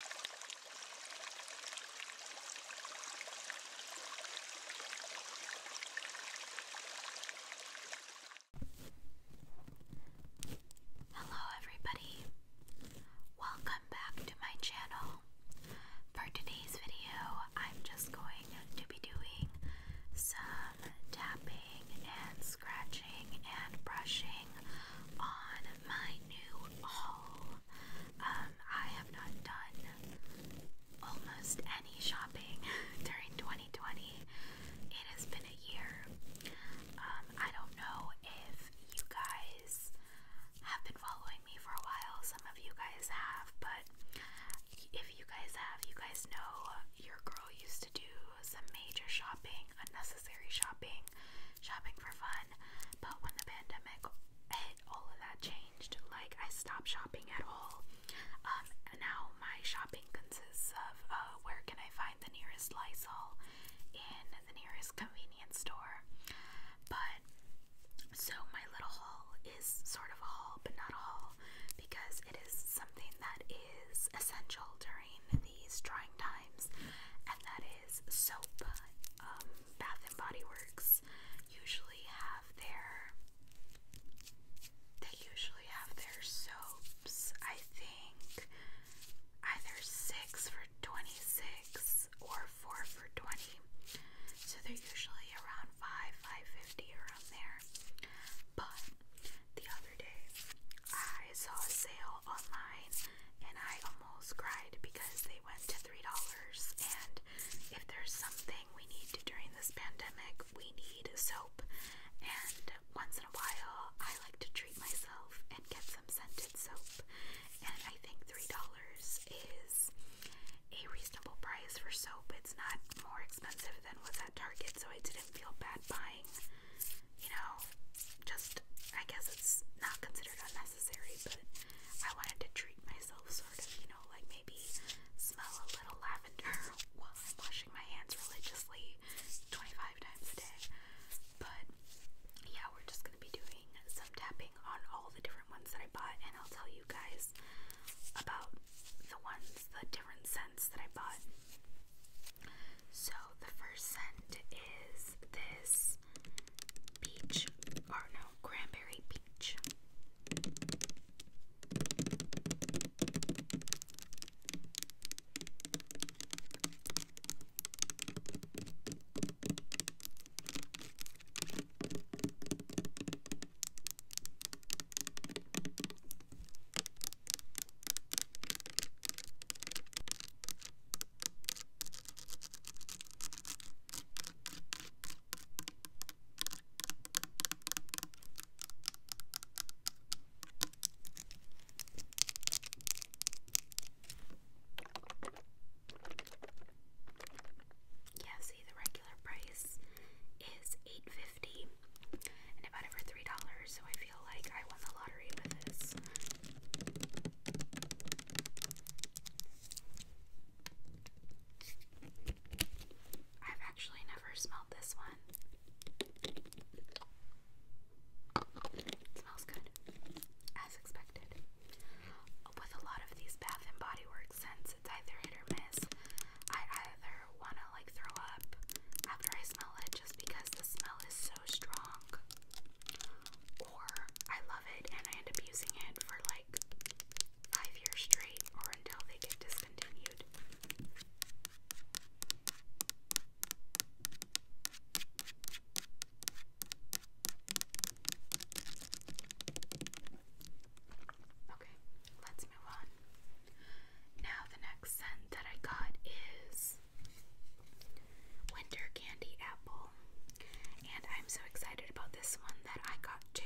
Hello, everybody. Welcome back to my channel. For today's video, I'm just going to be doing some tapping and scratching and brushing on my new haul. Um, I have not done almost any shopping during 2020. It has been a year. Um, I don't know if you guys have been following me for a while. Some of you guys have, but if you guys have, you guys know your girl used to do some major shopping, unnecessary shopping shopping, for fun. But when the pandemic hit, all of that changed. Like I stopped shopping at all. Um, now my shopping consists of uh, where can I find the nearest Lysol in the nearest convenience store. But so my little haul is sort of a haul, but not a haul, because it is something that is essential during these trying times, and that is is soap. Um, Bath and Body Works usually have their they usually have their soaps. I think either six for twenty six or four for twenty. So they're usually around five, five fifty around there. But the other day I saw a sale online and I almost cried because they went to $3 and if there's something we need to during this pandemic, we need soap and once in a while I like to treat myself and get some scented soap and I think $3 is a reasonable price for soap. It's not more expensive than what's at Target so I didn't feel bad buying you know, just I guess it's not considered unnecessary, but I wanted to treat myself sort of, you know, like maybe smell a little lavender while I'm washing my hands religiously 25 times a day. But yeah, we're just gonna be doing some tapping on all the different ones that I bought, and I'll tell you guys about the ones, the different scents that I bought. So the first scent is this peach, or no, cranberry peach. Yeah, see the regular price is eight fifty and I bought it for $3, so I feel like I won the lottery with this. I've actually never smelled this one. It smells good, as expected. With a lot of these Bath and Body Works scents, it's either hit or miss. I either want like throw up after I smell it just because the smell is so strong. Or I love it and I end up using it for like five years straight or until they get discontinued. Okay, let's move on. Now, the next scent that I got is Winter Candy Apple. And I'm so excited about this one that I got too.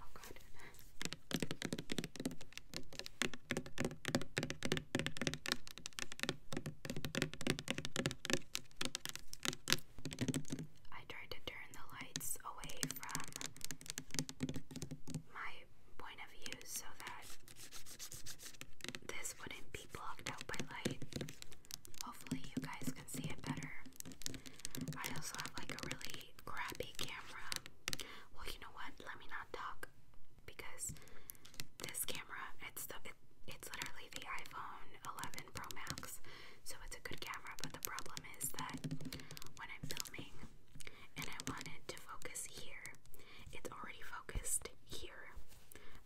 Oh, God. I tried to turn the lights away from my point of view so that this wouldn't be blocked out by light. Hopefully, you guys can see it better. I also have like a really crappy camera. Well, you know what? Let me not talk because this camera, it's the it's literally the iPhone 11 Pro Max, so it's a good camera. But the problem is that when I'm filming and I wanted to focus here, it's already focused here.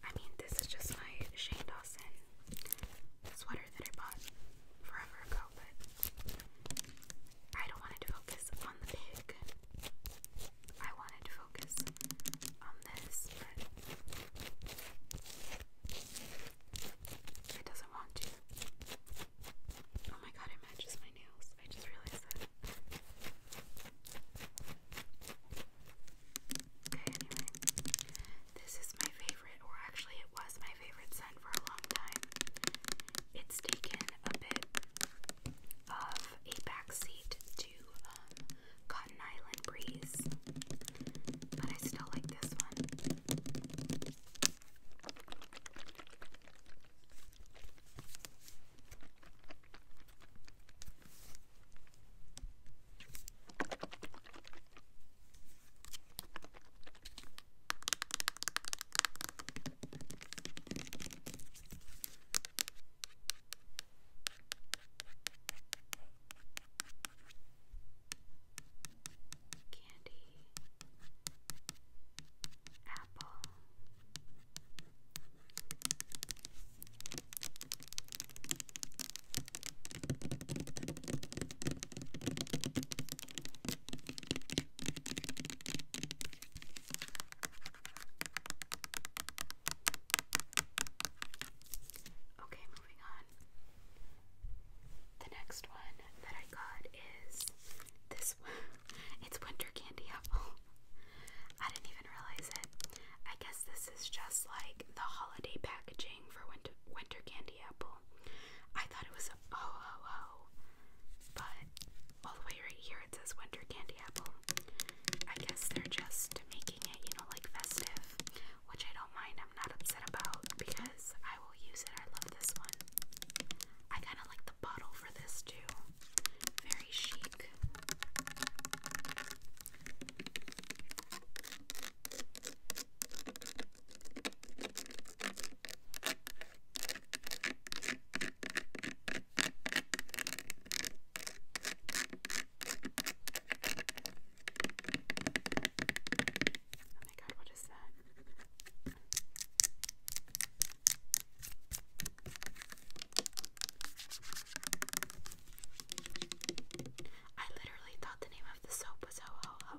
I mean, this is just my Shane Dawson sweater that I bought forever ago, but I don't want to focus on the pig. I wanted to focus on this, but it doesn't want to. Oh my god, it matches my nails. I just realized that. Okay, anyway. This is my favorite, or actually, it was my favorite scent for a long time. It's taken a bit of a backseat to um, Cotton Island Breeze, but I still like this one. Candy, apple, Okay, moving on. The next one that I got is this It's winter candy apple. I didn't even realize it. I guess this is just like the holiday packaging for winter winter candy apple. I thought it was a says oh oh oh, but all the way right here it says winter candy apple. I guess they're just making it, you know, like festive, which I don't mind. I'm not upset about because I will use it. I love this one. I kind of like the bottle for this too. Very chic. Oh my god, what is that? I literally thought the name of the soap was Ho Ho Ho.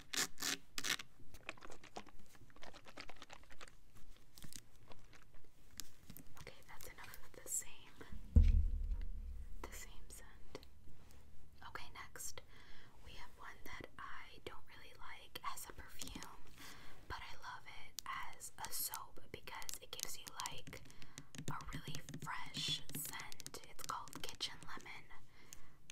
Okay, that's enough of the same the same scent. Okay, next we have one that I don't really like as a perfume, but I love it as a soap because it gives you like a really fresh scent. It's called Kitchen Lemon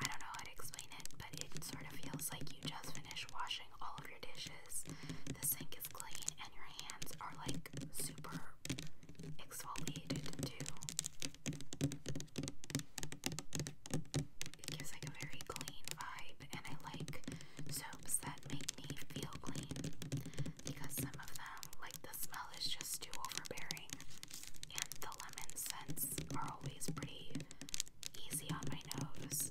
I don't know how to explain it, but it sort of feels like you just finished washing all of your dishes. The sink is clean, and your hands are like super exfoliated too. It gives like a very clean vibe, and I like soaps that make me feel clean because some of them, like the smell, is just too overbearing, and the lemon scent are always pretty easy on my nose.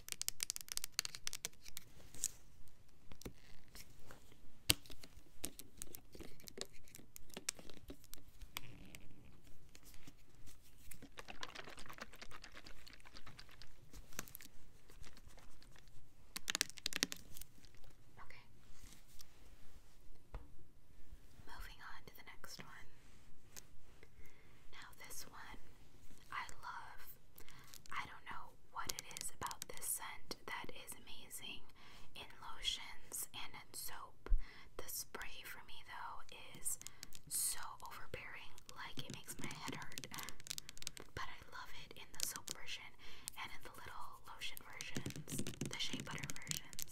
Okay. Moving on to the next one. Now, this one I love. I don't know what it is about this scent that is amazing in lotions and in soap. The spray for me though is so overbearing, like it makes my head hurt. But I love it in the soap version and in the little lotion versions, the shea butter versions.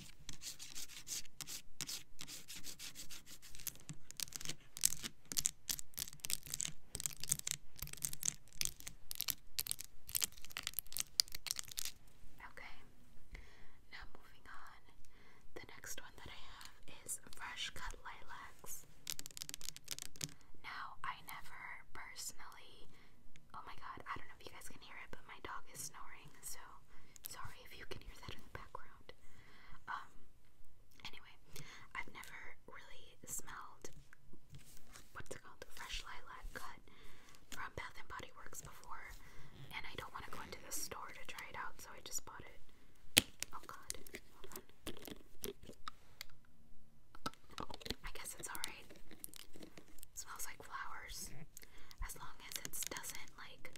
Okay, now moving on. The next one that I have is Fresh Cut Lilacs. Now, I never personally. Oh my god, I don't know if you guys can hear it, but my dog is snoring, so Sorry if you can hear that in the background. Um, anyway, I've never really smelled what's it called? Fresh lilac cut from Bath and Body Works before, and I don't want to go into the store to try it out, so I just bought it. Oh god, I guess it's alright. Smells like flowers. As long as it doesn't like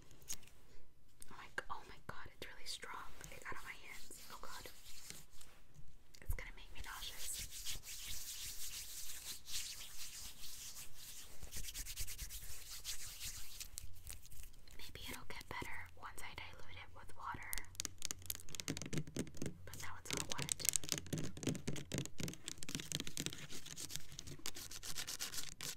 oh my, oh my god, it's really strong. It got on my hands. Oh god. It's gonna make me nauseous. Maybe it'll get better once I dilute it with water. But now it's all wet. It's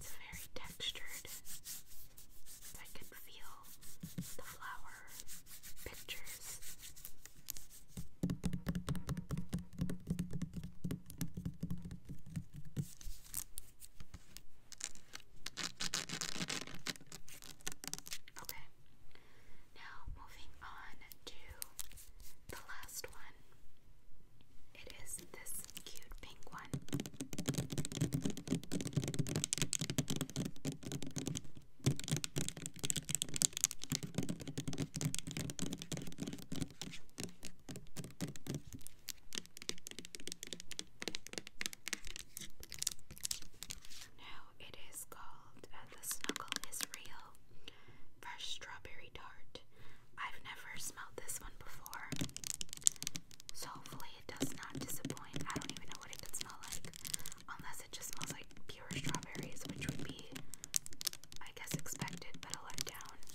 very textured. I can feel the flower pictures. Okay, now moving on to the last one. It is this cute pink one. Now it is called uh, the Snuggle is Real Fresh Strawberry Tart. I've never smelled this one before, so hopefully it does not disappoint. I don't even know what it could smell like, unless it just smells like pure strawberries, which would be, I guess, expected, but a letdown.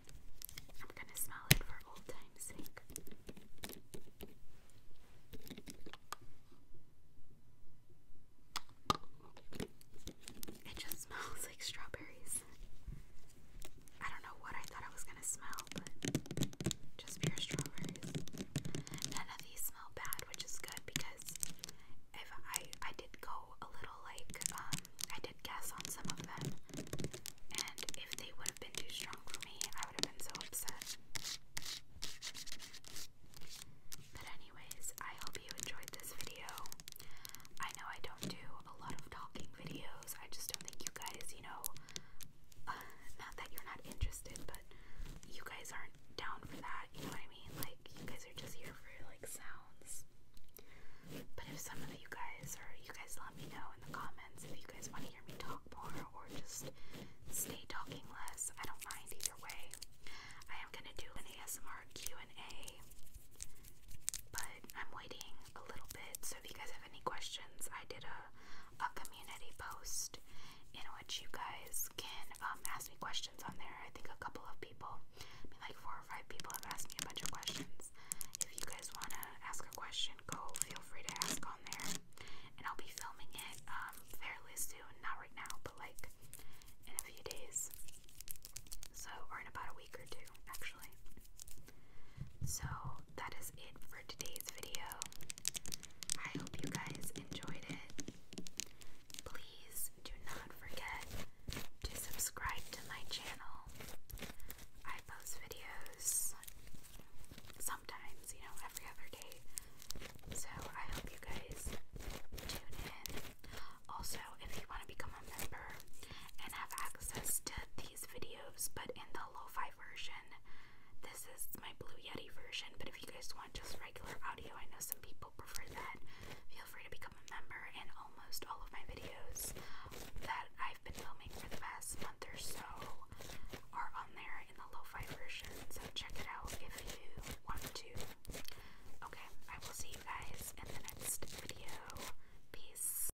I'm gonna smell it for old time's sake. It just smells like strawberries. I don't know what I thought I was gonna smell, but just pure strawberries. None of these smell bad, which is good because if I I did go a little like um, I did guess on some of them, and if they would have been too strong for me, I would have been so upset. But, anyways, I hope you enjoyed this video. I know I don't do a lot of talking videos, I just don't think you guys, you know, not that you're not interested, but you guys aren't down for that, you know what I mean? Like, you guys are just here for like sounds. But if some of you guys, or you guys let me know in the comments if you guys want to hear me talk more or just stay talking less, I don't mind either way. I am going to do an ASMR Q&A, but I'm waiting a little bit, so if you guys have any questions, I did a, a community post in which you guys can um, ask me questions on there. I think a couple of people like four or five people have asked me a bunch of questions. If you guys want to ask a question, go feel free to ask on there. And I'll be filming it um, fairly soon, not right now, but like in a few days. So, or in about a week or two, actually. So, that is it for today's video. I hope you guys enjoyed it. Please please do not forget to subscribe to my channel. I post videos sometimes, you know, every other day. So I hope you guys tune in. Also, if you want to become a member and have access to these videos, but in the lo-fi version, this is my Blue Yeti version. But if you guys want just regular audio, I know some people prefer that. Feel free to become become member in almost all of my videos that I've been filming for the past month or so are on there in the lo-fi version, so check it out if you want to. Okay, I will see you guys in the next video. Peace.